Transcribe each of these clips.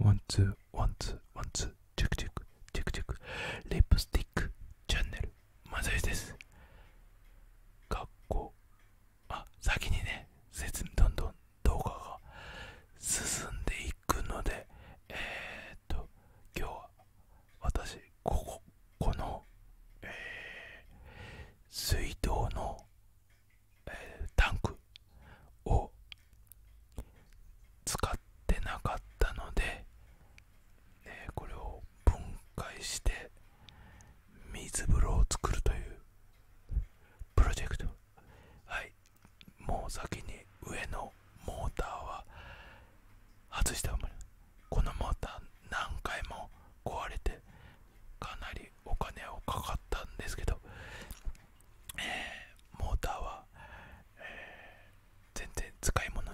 ワンツーワンツーワンツーチェクチェクチェクチェクリップスティックチャンネルマずイです学校あ先にね説明どんどん動画が進んでいくのでえー、っと今日は私こここの、えー、水道のえタンクを使ってなかったので、えこれを分解して水風呂を作るというプロジェクトはいもう先に上のモーターは外しておこのモーター何回も壊れてかなりお金をかかったんですけどえモーターは、全然使い物に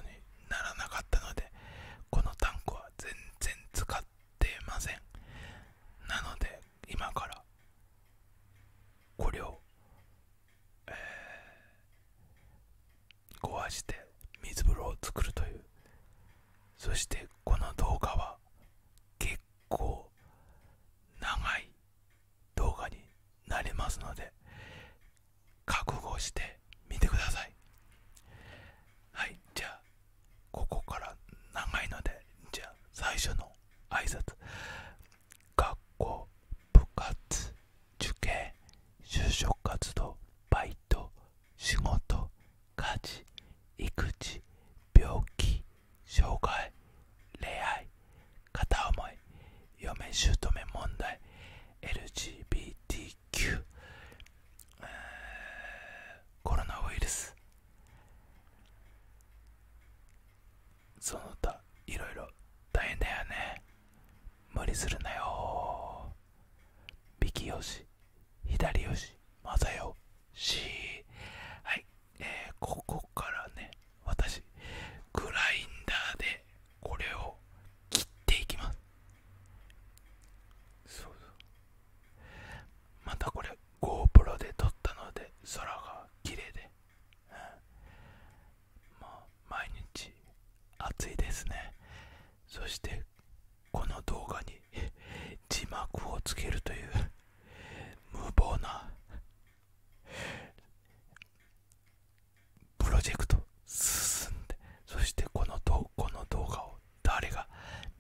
ならなかったのでこのタンクは全然使ってませんなので今からこれを、壊して水風呂を作るというそしてこの動画は計結構長い動画になりますので覚悟してみてくださいはいじゃあここから長いのでじゃあ最初の挨拶学校部活受験就職活動バイト仕事家事育児病気障害恋愛片思い嫁姑問題 LGBTQ コロナウイルスその他いろいろ大変だよね無理するなよ右よし左よしまさよしはいえここからね私グラインダーでこれを切っていきますそうそうまたこれ GoPro で撮ったので空が綺麗で、まあ毎日暑いですねそしてこの動画に字幕をつけるという無謀なプロジェクト進んでそしてこのこの動画を誰が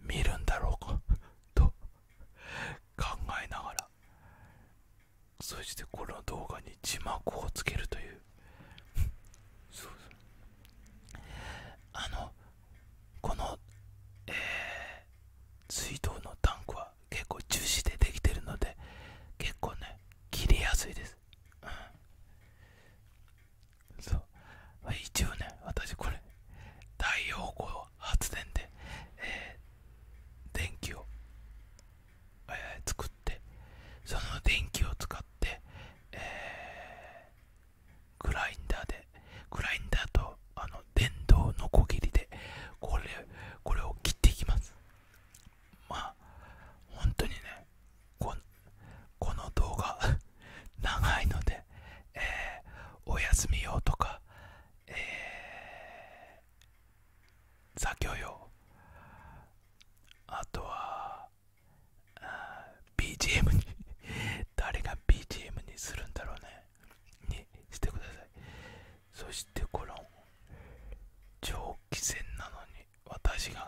見るんだろうか と考えながらそしてこの動画に字幕をつけるという あのこのえー水道のタンクは結構樹脂でできてるので結構ね切りやすいです、うん、そう一応ね私これ太陽光発電で、え電気を、え作ってその電気を使って、えグラインダーでグラインダーとあの電動のこぎりでこれこれを切っていきますまあ本当にねこの動画 長いので、えー、お休み用とか、えー、作業用あとはあ BGM に 誰が BGM にするんだろうねにしてくださいそしてこの長期戦なのに私が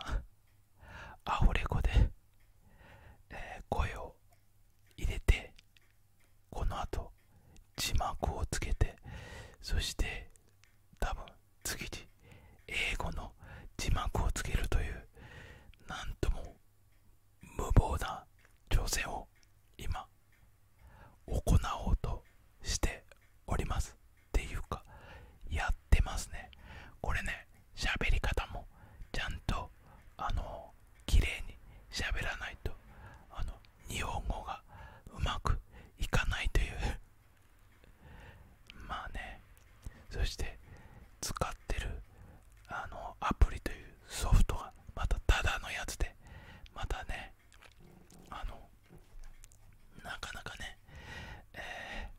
アフレコで、え声を入れてこの後字幕をつけてそして多分次に英語の字幕をつけるというなんとも無謀な挑戦を今行おうとしておりますっていうかやってますねこれね喋り方もちゃんとあの綺麗にしゃべらないとあの日本語がうまくいかないという まあねそして使ってるあのアプリというソフトがまたただのやつでまたねあのなかなかね、え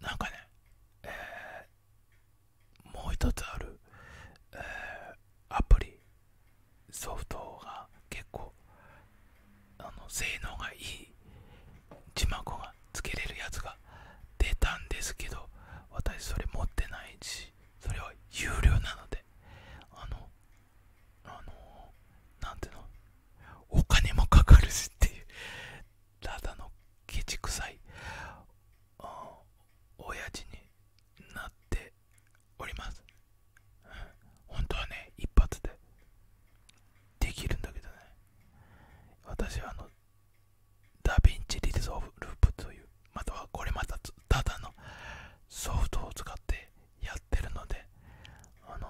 なんかね、えもう一つある、アプリソフトが結構あの性能がいい字幕がつけれるやつが出たんですけど私それ持ってないしそれは有料なのであのあの何ていうのお金もかかるしっていうただのケチくさい親父になっております、本当はね一発でできるんだけどね私はあのダヴィンチリズオブループというまたはこれまたただのソフトを使ってやってるのであの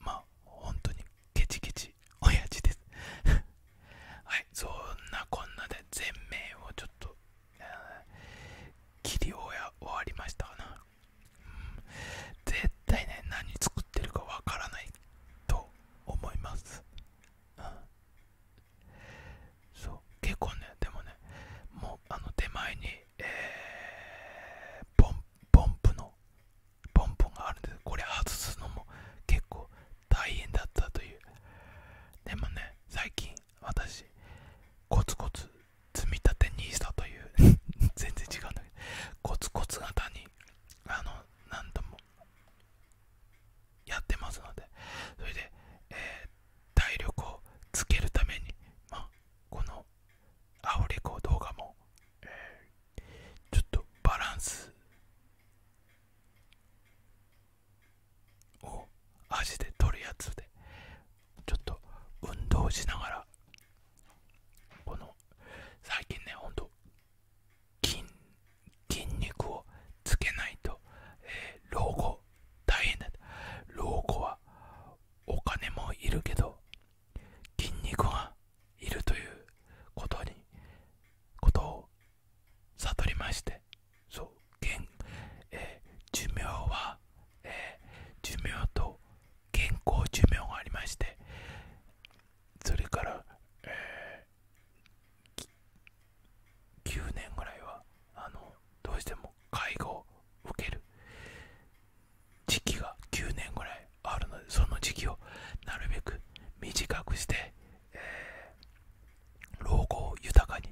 まあ本当にケチケチ親父です はいそんなこんなで全面をちょっと、えー、切り終わりましたかな、うん、絶対ね何作ってるかわからないと思います、そう結構ねでもねもうあの手前に、ポンポンプのポンポンがあるんでこれ外すのも結構大変だったというでもね最近私コツコツ積み立てにしたという 全然違うんだけどコツコツ型にあの何度もやってますのでそれで、え体力をつけるために、まあ、このアオリコ動画も、ちょっとバランスを足で取るやつでちょっと運動しながらこの最近ねほんと筋肉をつけないと、え老後大変だ老後はお金もいるけど筋肉がいるということにことを悟りましてそう健、え寿命は、えー、寿命と健康寿命がありましてそれから、え9年ぐらいはあのどうしても介護を受ける時期が9年ぐらいあるのでその時期をなるべく短くして、老後を豊かに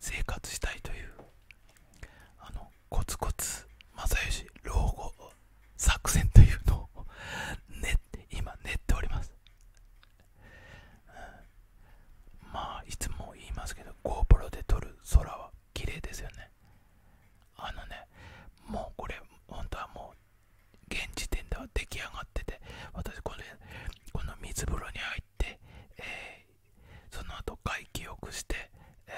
生活したいというあのコツコツ正義老後作戦というのをね、今練っております、まあいつも言いますけど GoPro で撮る空は綺麗ですよねあのねもうこれ本当はもう現時点では出来上がってて私これこの水風呂に入って、えその後外気浴して、え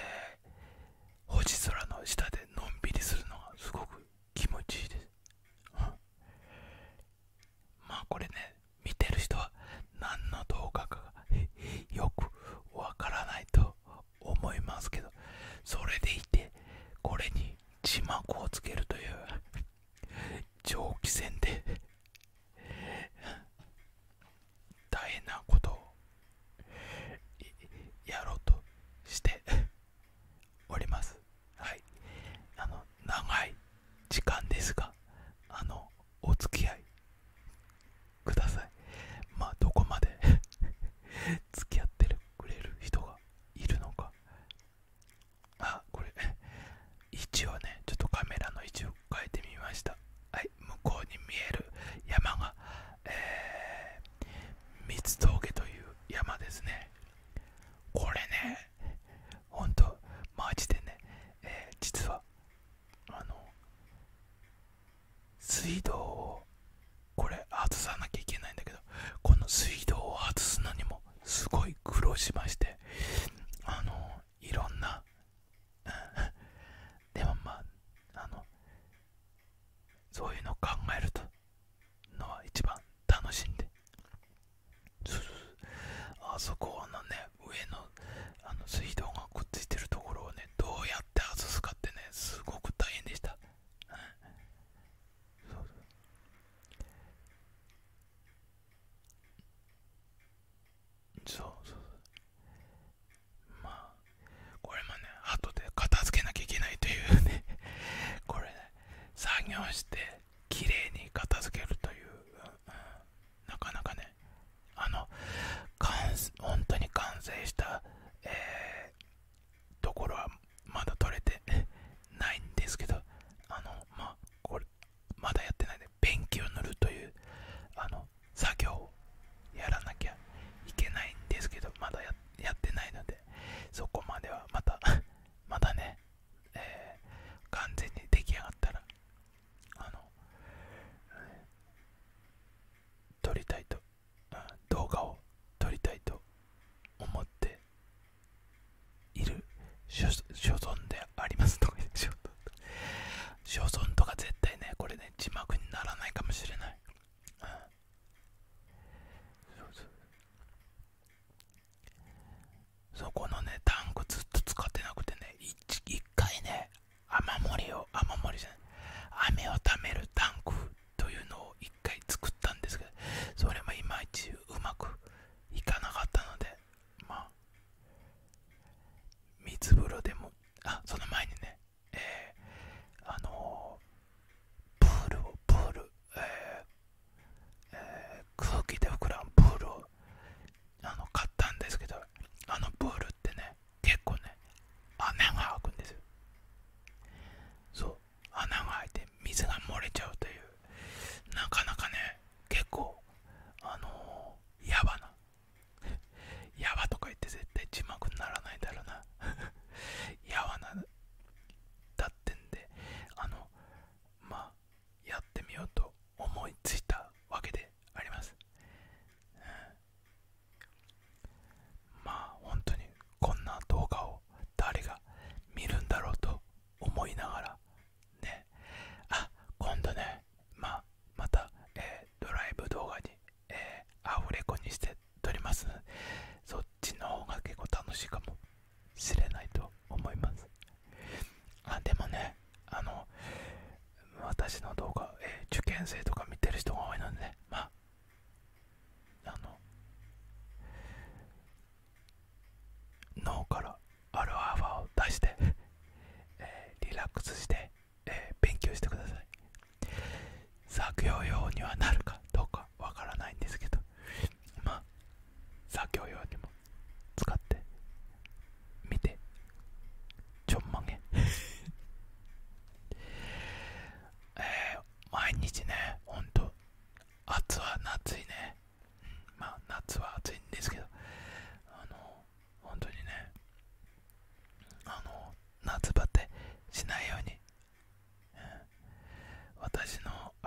星空の下でのんびりするのがすごく気持ちいいです まあこれね見てる人は何の動画かがよくわからないと思いますけどそれでいてこれに字幕をつけるという長期戦で大変なことをやろうとしておりますはいあの長い時間ですがあのお付き合いくださいまどこまで 付き合ってくれる人がいるのかあこれ位置をねちょっとカメラの位置を変えてみましたはい向こうに見える山がえー、三つ峠という山ですねこれねほんとマジでね、え実はあの水道をこれ外さなきゃいけないんだけどこの水道を外すのにもすごい苦労しましてあのいろんなでもまああのそういうのを考えるとそうそうそうあそこのね上の水道がくっついてるところをねどうやって外すかってねすごく大変でした、そうそうそうそうまあこれもね後で片付けなきゃいけないというねこれね作業してきれいに片付けるという、なかなかねあの本当に完成した、えところはまだ取れてないんですけどあのまこれまだやってないでペンキを塗るというあの作業をやらなきゃいけないんですけどまだやっやってないのでそこまではまた またね、え完全に出来上がったらあの、撮りたいと、動画を撮りたいと思っている所存であります とか所存とか絶対ねこれね字幕にならないかもしれない、そこのねタンクずっと使ってなくてね 1, 1回ね雨漏りを雨漏りじゃない雨をためるタンクというのを1回作ったんですけどそれもいまいちうまくいかなかったのでまあ水風呂でもあその前にねえー、あのプールをプール、ええ空気で膨らむプールをあの買ったんですけどあのプールってね結構ね穴が開くんですよそう穴が開いて水が漏れちゃうというなかなかね結構あのー、やばな やばとか言って絶対字幕にならないだろうな やばなだってんであのまあやってみようと思いついたわけであります、まあ本当にこんな動画を誰が見るんだろうと思いながらねあ今度ねまあまた、えドライブ動画に、えアフレコにして撮りますそっちの方が結構楽しいかもしれないと思いますあでもねあの私の動画、え受験生とか見てる人が多いのでまあの脳からアルファーを出して、えリラックスして、え勉強してください作業用にはなるかどうかわからないんですけどまあ作業用にも使って見てちょんまげ え毎日ねほんと暑は夏いね、うん、ま夏は暑いんですけどあの本当にねあの夏バテしないように私の、え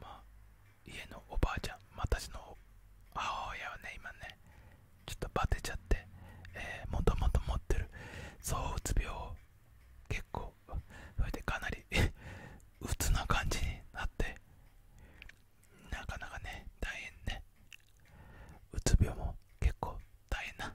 ま家のおばあちゃん、私の母親はね、今ね、ちょっとバテちゃって、えー、もともと持ってる、そうつ病、結構、それでかなりうつ な感じになって、なかなかね、大変ね。うつ病も結構大変な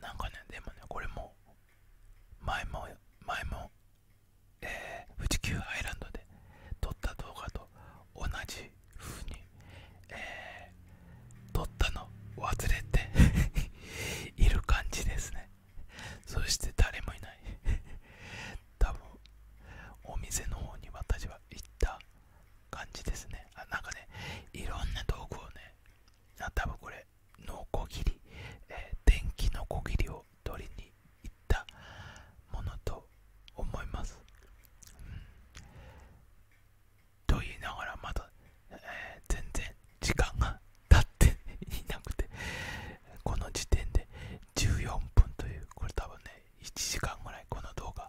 なんかねでもねこれも前も前もえー、富士急ハイランドで撮った動画と同じ風にえー、撮ったの忘れて いる感じですねそして誰もいない多分お店の方に私は行った感じですねあなんかねいろんな道具をねあ多分これのコギリえ電気ノコギリを取りに行ったものと思います、うん、と言いながらまだ、え全然時間が経っていなくてこの時点で14分というこれ多分ね1時間ぐらいこの動画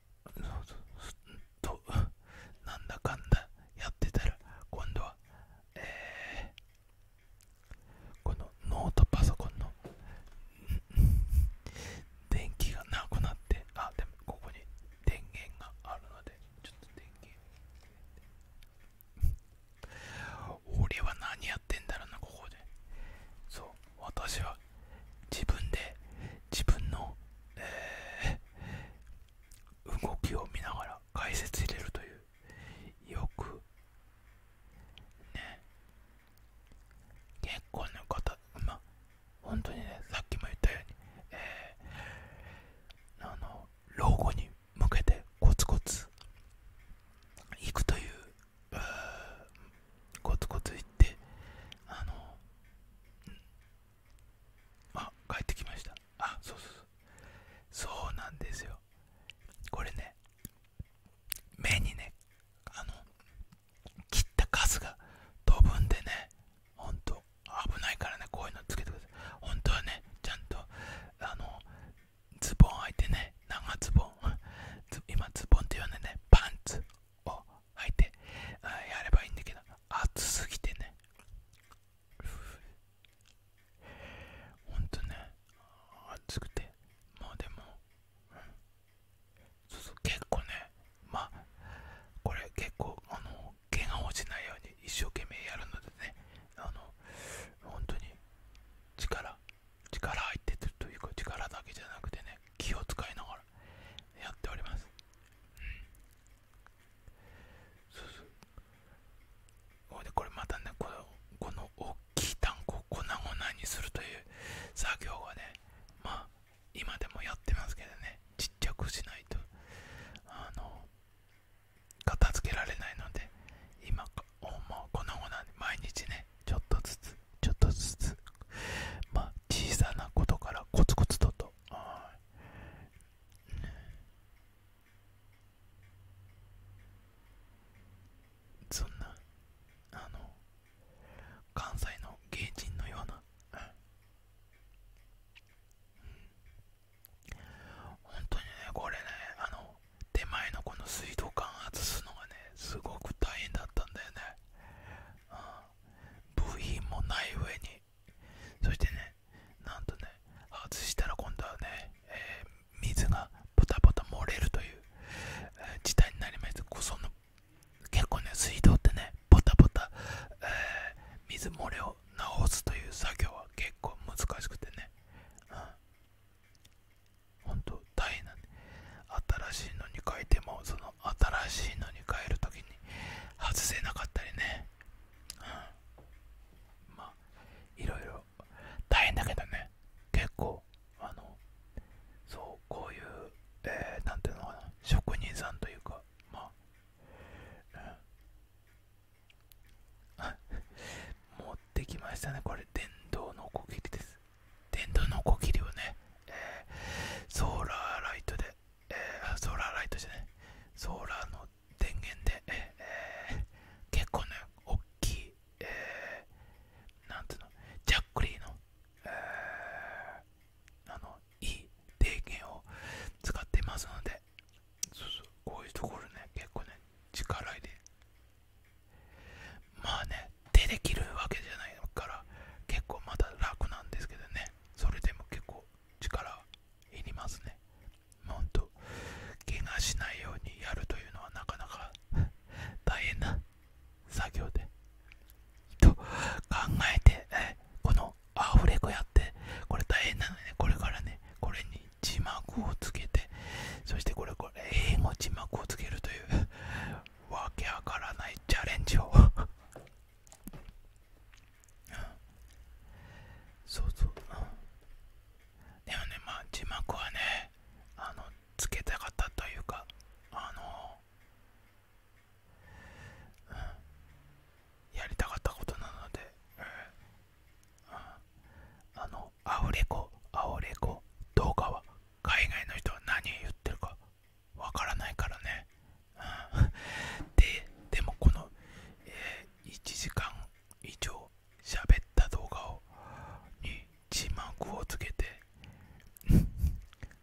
となんだかんだやってたら今度は、えー、このノートパソコンの電気がなくなってあでもここに電源があるのでちょっと電源俺は何やってんだろうなここでそう私は自分で自分の、え動きを見ながら解説入れるというよくね結婚の方まあ本当にねさっきも言ったように、えあの老後に向けてコツコツいくというコツコツ行ってあのあ帰ってきましたあそうそうそうなんですよこれね目にねあの切った数が飛ぶんでねほんと危ないからねこういうのつけてください本当はねちゃんとあのズボン履いてね長ズボン 今ズボンって呼んでねパンツを履いてやればいいんだけど暑すぎてねほんとね暑くてまあでも、うん、そうそう結構ねまあこれ結構あの毛が落ちないように一生懸命やるのでねあの本当に力力入ってるというか力だけじゃなくてね気を使いながらやっておりますそうそでこれまたねこのこの大きいタンクを粉々にするという作業はねまあ今でもやってますけどねちっちゃくしないとあの片付けられないので今もう粉々に毎日ねちょっとずつちょっとずつ、まあ、小さなことからコツコツとと、そんな、あの、関西の芸人のような、本当にね、これね、あの、手前のこの水道管外すのがね、すごく大変だったんだよね。あ部品もない上にそしてねなんとね外したら今度はね、え水がポタポタ漏れるという、事態になります。たその結構ね水道ってねポタポタ、え水漏れを直すという作業は結構難しくてね、うん、ほんと大変な新しいのに変えてもその新しいのに変えるときに外せなかったりね、まあいろいろ大変だけどね結構あのそうこういう何、えー、ていうのかな職人さんというかまあ、持ってきましたねこれ電動のこぎりです電動のこぎりをね、ソーラーライトでえソーラーライトじゃなソーラーの電源で、えー、結構ね大きい、えー、なんていうのジャックリーの、えー、あのいい電源を使っていますのでそうそうこういうところね結構ね力入れまあね出て切るわけじゃないから結構まだ楽なんですけどねそれでも結構力いりますねほんと怪我しないようにやるというのはなかなか 大変な作業でと考えてこのアフレコやってこれ大変なのねこれからねこれに字幕をつけてそしてこれこれ英語字幕をつけるというわけわからないチャレンジをそうそう、でもねまあ字幕はねあのつけたかったというかあの、うん、やりたかったことなので、うんあのアオレコアオレコ動画は海外の人は何言ってるかわからないからね、うん、ででもこの、え1時間以上喋った動画をに字幕をつけて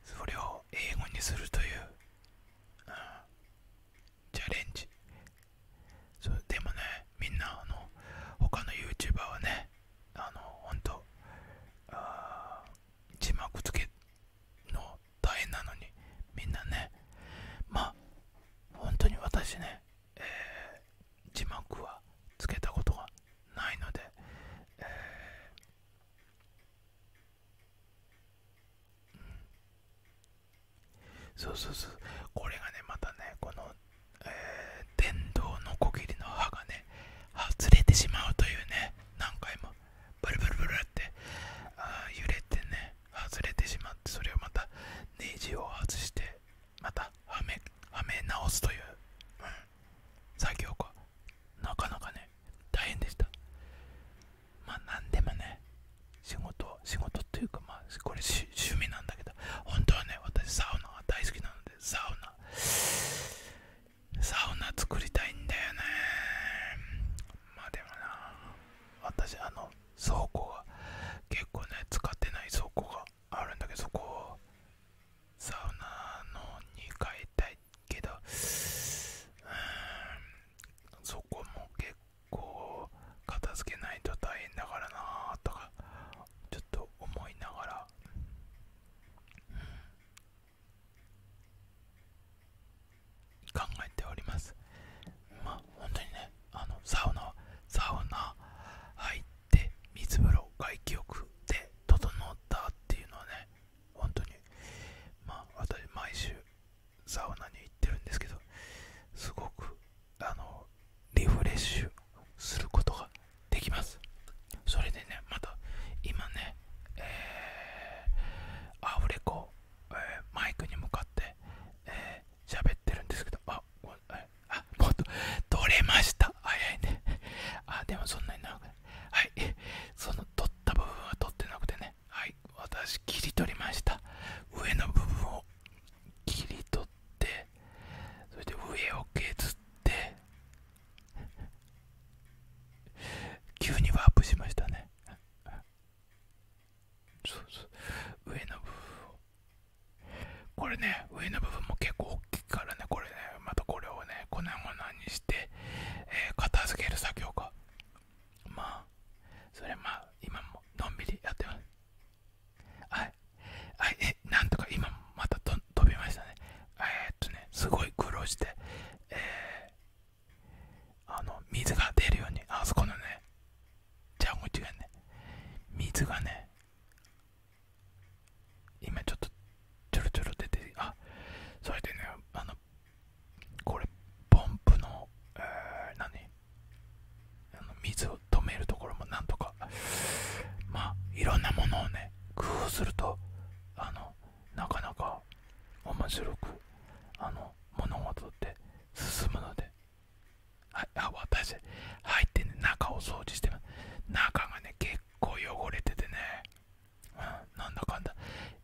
それを英語にするという、チャレンジそでもねみんなあの他の YouTuber はねあの本当字幕つけの大変なのにみんなねまあ本当に私ね、えー、字幕はつけたことがないので、そうそうそうこれがねまたねこの、えー、電動のこぎりの刃がね外れてしまうというね何回もブルブルブルってあ揺れてね外れてしまってそれをまたネジを外してまたはめはめ直すという、うん、作業がなかなかね大変でしたまあ何でもね仕事仕事っていうかまあこれ趣味なんだけど本当はね私サウナが大好きなのでサウナサウナ作りたいんだよねまあでもな私あの倉庫が結構ね使ってない倉庫があるんだけどそこをサウナのに変えたいけどそこも結構片付けないと大変だからなとかちょっと思いながら、考えておりますまあ本当にねあのサウナサウナ入って水風呂外気浴で整ったっていうのはね本当にま私毎週サウナに行ってるんですけどすごくあのリフレッシュすることができますそれでねまた今ね、えー、アフレコ、えマイクに向かってえー、ってるんですけどああもっと取れました早いね あでもそんなに長くないはいその取った部分は取ってなくてねはい私切り取りました上の部分を切り取ってそれで上を削って急にワープしましたね。そうそう上の部分を。これね、上の部分も結構大きいからね、これね、またこれをね、粉々にして、えー、片付ける作業が。まあ、それまあ、今ものんびりやってます。はい。え、なんとか今もまたど飛びましたねえっとねすごい苦労して、えあの水が出るようにあそこのねじゃあもう一回ね水がね今ちょっとちょろちょろ出てあそれでねあのこれポンプの、えー、何あの水を止めるところもなんとかまあいろんなものをね工夫するとあのなかなか面白くあの物事って進むので、あ私入ってね中を掃除して中がね結構汚れててね、うなんだかんだ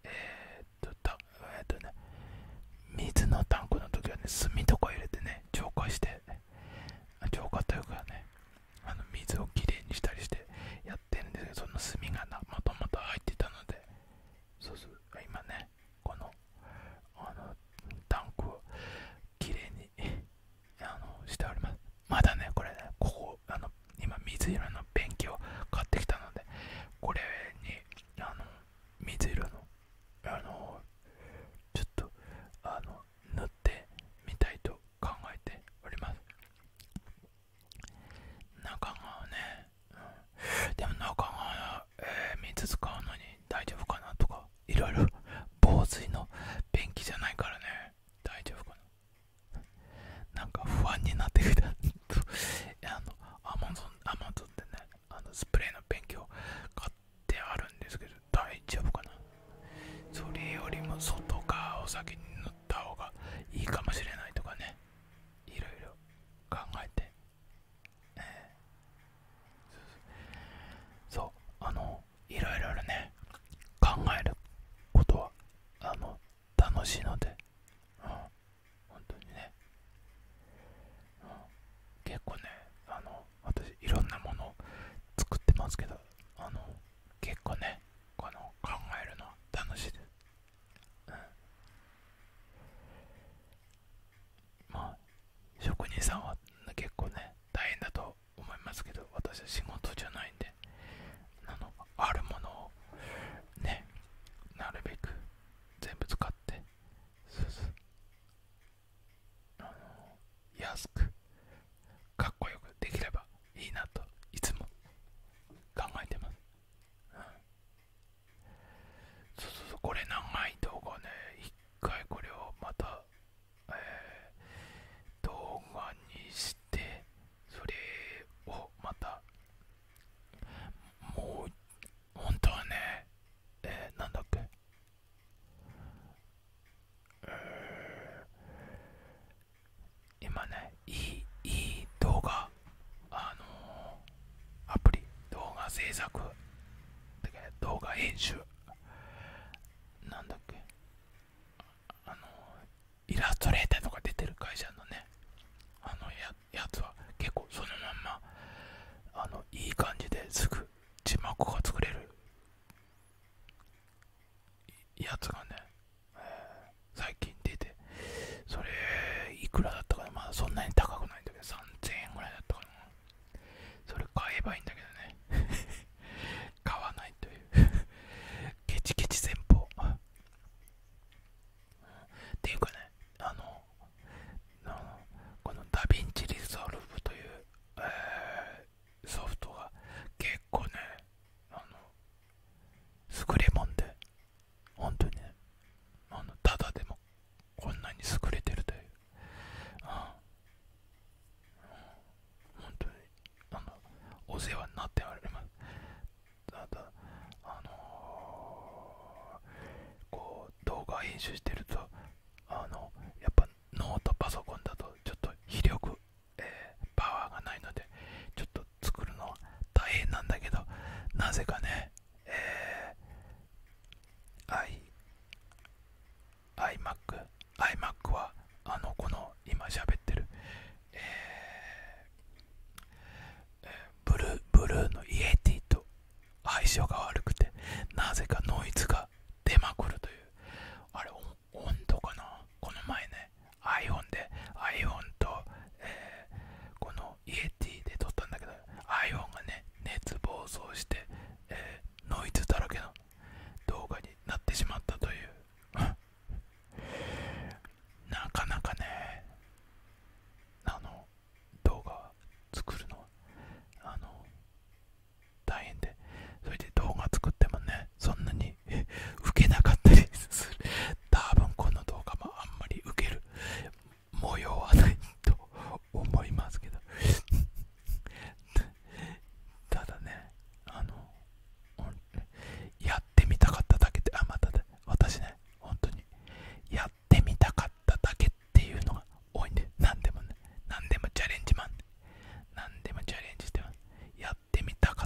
えっとえっとね水のタンクの時はね炭とか入れてね浄化して浄化というかねあの水をきれいにしたりしてやってるんですけどその炭がなもともと入ってたのでそうそう今ねこのあのタンクをきれいにあのしておりますまだねこれねここあの今水色のペンキを買ってきたのでこれにあの水色のあのちょっとあの塗ってみたいと考えております中川ね、でも中川、えー、水使うのに大丈夫かなとかいろいろ防水の便器じゃないからね大丈夫かななんか不安になってきた あのアマゾンアマゾンでねあのスプレーの便器を買ってあるんですけど大丈夫かなそれよりも外側を先にた方がいいかもしれないとかねいろいろ考えて、そうあのいろいろね考えることはあの楽しいので、うん、本当にね、結構ねあの私いろんなもの作ってますけどあの結構ねこの考えるの楽しいまあ職人さんは結構ね大変だと思いますけど私は仕事じゃないんであのあるものをねなるべく全部使ってそうそうあの安くかっこよくできればいいなといつも考えてます、そうそうそうこれ長い動画ね一回これをまた、えー、動画にしてそれをまたもう本当はねえー、なんだっけえ今ねいい動画あのアプリ動画制作だけ動画編集なんだっけあのイラストレーターとか出てる会社のねあのやつは結構そのまんまあのいい感じですぐ字幕が作れるやつがね、最近出て、それ、いくらだったかな、まだそんなに高くないんだけど、3000円ぐらいだったかな。それ買えばいいんだけどね。買わないというケチケチ戦法っていうかね、あの、このダヴィンチリゾルブという、ソフトが結構ね、あの優れもんで本当にねただでもこんなに優れてるというああ本当にあのお世話になっておりますただあのこう動画編集してるとあのやっぱノートパソコンだとちょっと非力えパワーがないのでちょっと作るのは大変なんだけどなぜかね、え I iMac iMac はあのこの今喋ってる、えブルーブルーのイエティと相性が悪くてなぜかノイズが出まくるというあれ温度かなこの前ね iPhone で iPhone と、えこのイエティで撮ったんだけど iPhone がね熱暴走して、えノイズだらけの動画になってしまったという なかなかねあの動画作るのあの大変でそれで動画作ってもねそんなにに受けなかったりする多分この動画もあんまり受ける模様はないと思いますけどただねあのやってみたかっただけであまただ私ね本当にやってみたかっただけっていうのが多いんで何でもね何でもチャレンジマン何でもチャレンジしてまやってみたか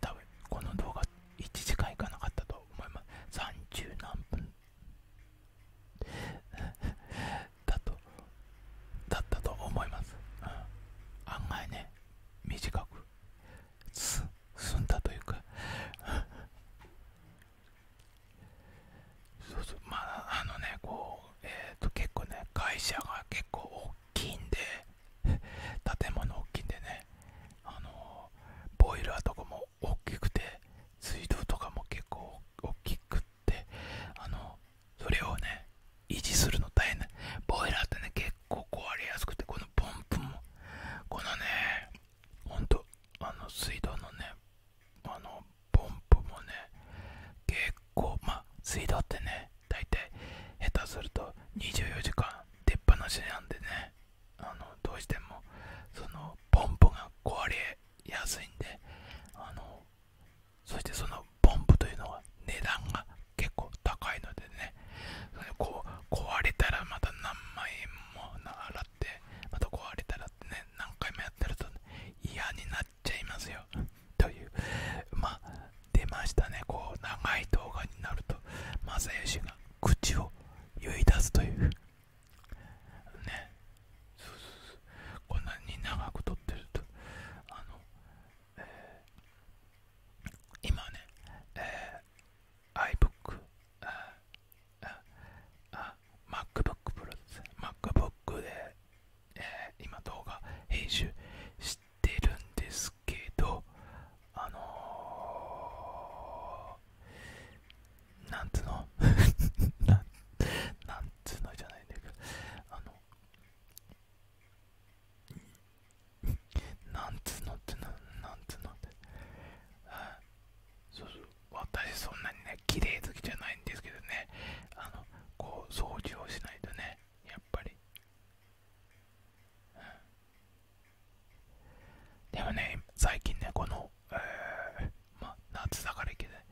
多分この動画1時間いかなかったと思います30何分 だとだったと思います、案外ね短くす済んだというか そうそうまああのねこうえっ、と結構ね会社が結構大きいんで 建物大きいんでねあのボイラーとかも大きくて水道とかも結構大きくってあのそれをね維持するの大変だボイラーってね結構壊れやすくてこのポンプもこのねほんとあの水道のねあのポンプもね結構ま水道ってね大体下手すると24時間出っ放しなんでねあのどうしてもそのポンプが壊れやすいんであのそしてそのポンプというのは値段が結構高いのでねこう壊れたらまた何万円も払ってまた壊れたらってね何回もやってると嫌になっちゃいますよ というまあ出ましたねこう長い動画になると正義が口を言い出すというねこんなに長くとってるとあの、今ね、えー、iBook あああ MacBook Pro です MacBook で、え今動画編集してっるんですけどあのー、なんつうの なんつうのじゃないんだけどあのなんつうのってななんつうのってそうそう私そんなにね綺麗好きじゃないんですけどねあのこう掃除をしないとねやっぱりでもね、最近ね、この、えま夏だからいけない。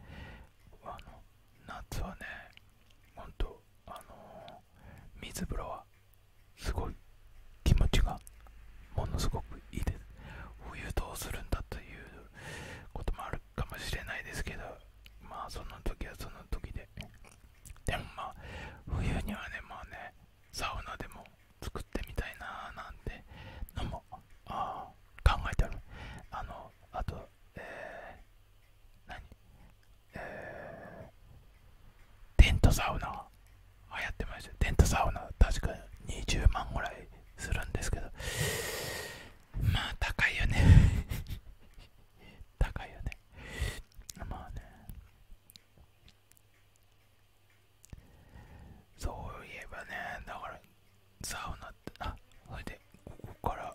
あの、夏はね、ほんと、あの水風呂は、すごい、気持ちが、ものすごくいいです。冬どうするんだということもあるかもしれないですけど、まあ、その時はその時で。でもまあ、冬にはね、まあね、サウナでも作ってみたいなーなんてのも考えてあるあのあとえー、何えー、テントサウナはやってましたテントサウナ確か20万ぐらいするんですけどまあ高いよね 高いよねまあねそういえばねだからサウナってあそれでここから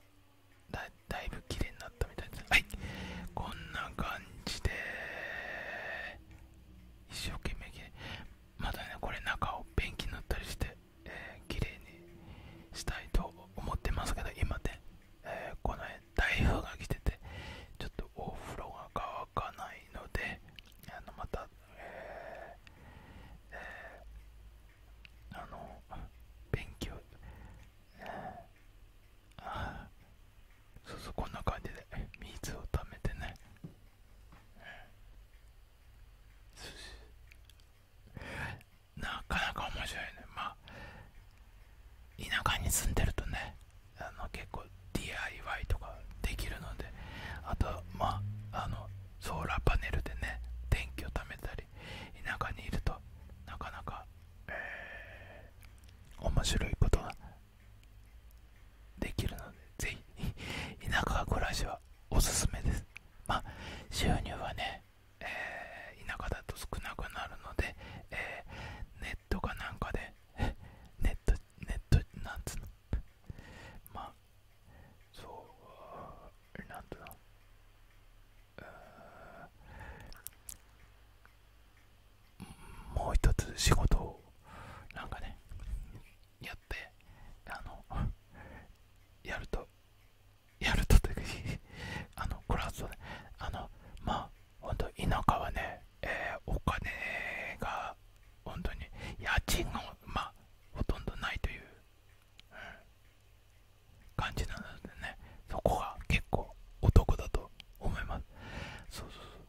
だいぶ綺麗になったみたいですはいこんな感じで一生懸命綺麗またねこれ中をペンキ塗ったりして、えー、綺麗にしたいと思ってますけど今ね、えこの辺台風が来ててちょっとお風呂が乾かないのであのまた、えーえー、あの勉強、えあそうそうこんな感じで水をためてね、なかなか面白いねまあ田舎に住んでるとねあの結構 DIY とかできるのであとまあのソーラーパネルでね電気を貯めたり田舎にいるとなかなか、面白いことができるのでぜひ田舎暮らしはおすすめですま収入はね、え田舎だと少なくなるので、えー、ネッットかなんかで ネットネットなんつうのまあそうなんう。とん。もう一つ仕事をなんかねやってあのやるとやるとというか あのこれはそうだあのまあ本当田舎はね、えー、お金が本当に家賃が、まあ、ほとんどないという、感じなのでねそこが結構お得だと思いますそうそうそう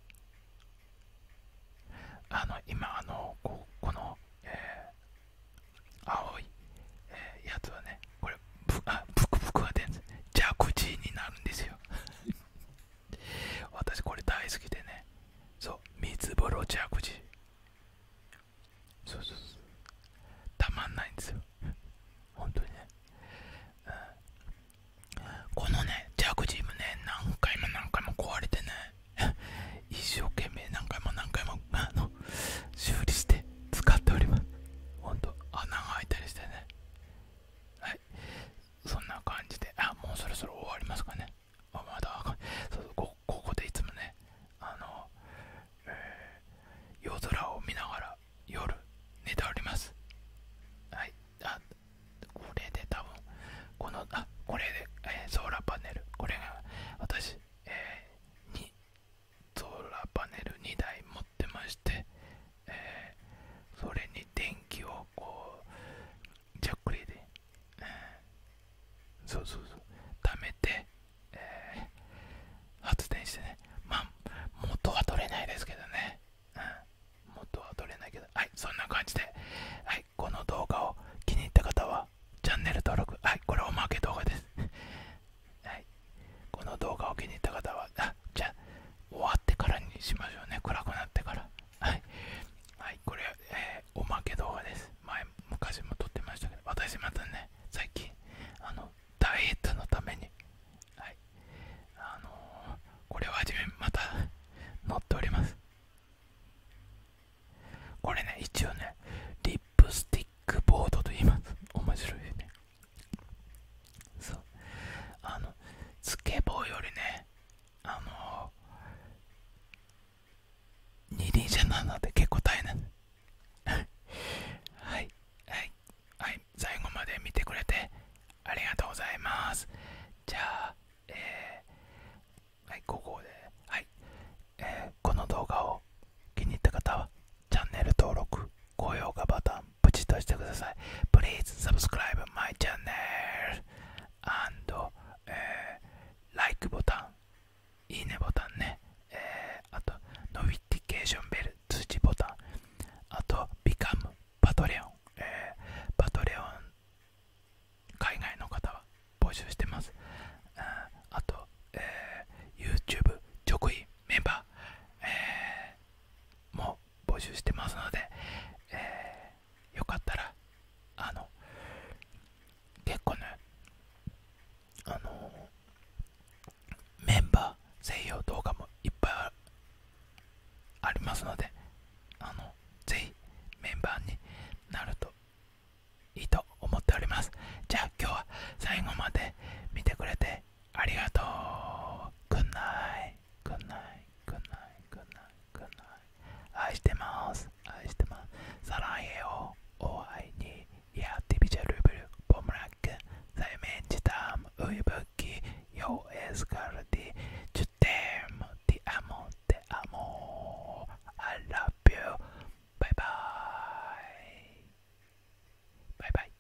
あの今あのここの、えー、青い、えー、やつはねこれぷ、あぷくブクは出るんですジになるんですよ私これ大好きでねそう水つぼろャグそうそうそうたまんないんですよ本当にね、このねジャグジーもね何回も何回も壊れてね一生懸命何回も何回もあの修理して使っております本当穴が開いたりしてねはいそんな感じであもうそろそろ終わりますかねあまだそうこここでいつもねあの、えー、夜空を見ながら夜寝ておりますはいあこれで多分このあこれで、えー、ソーラーパネルこれが私、えー、にソーラーパネル2台持ってましてえそれに電気をこうじゃっくりで、そうそうそう貯めて、発電してねまあ元は取れないですけどね、元は取れないけどはいそんな感じではいこの動画を気に入った方はチャンネル登録はいこれおまけ動画ですはいこの動画を気に入った方はじゃあ終わってからにしましょうね暗くなってからはいはいこれ、えおまけ動画です前昔も撮ってましたけど私またね最近あのダイエットのためにはいあのこれを始めまた乗っておりますこれね一応ねリップスティックボードと言います面白いねそうあのスケボーよりねあの二輪車なので結構大変 はいはいはい最後まで見てくれてありがとうございますじゃあえはいここではい、えこの動画を気に入った方はチャンネル登録高評価ボタンポチッとしてください。Please subscribe my channel and、えー、like ボタン、いいねボタンね、えー、あと、ノビティケーションベル、通知ボタン、あと、ビカム o パトレオン、えー、パトレオン、海外の方は募集してます。うん、あと、えー、YouTube 直位メンバー、えー、も募集してますので、えよかったらあの結構ねあのメンバー専用動画もいっぱいありますのであのぜひメンバーになるといいと思っておりますじゃあ今日は最後まで見てくれてありがとう。くんない。くんない。くんない。くんない。くんない。愛してます。愛してます。さらへよ。お会いに。やってみちゃルブル。ポムラック。さえめんじたん。ういぶき。よえすがるちゅってん。てあもてあも。I love you. バイバイ。バイバイ。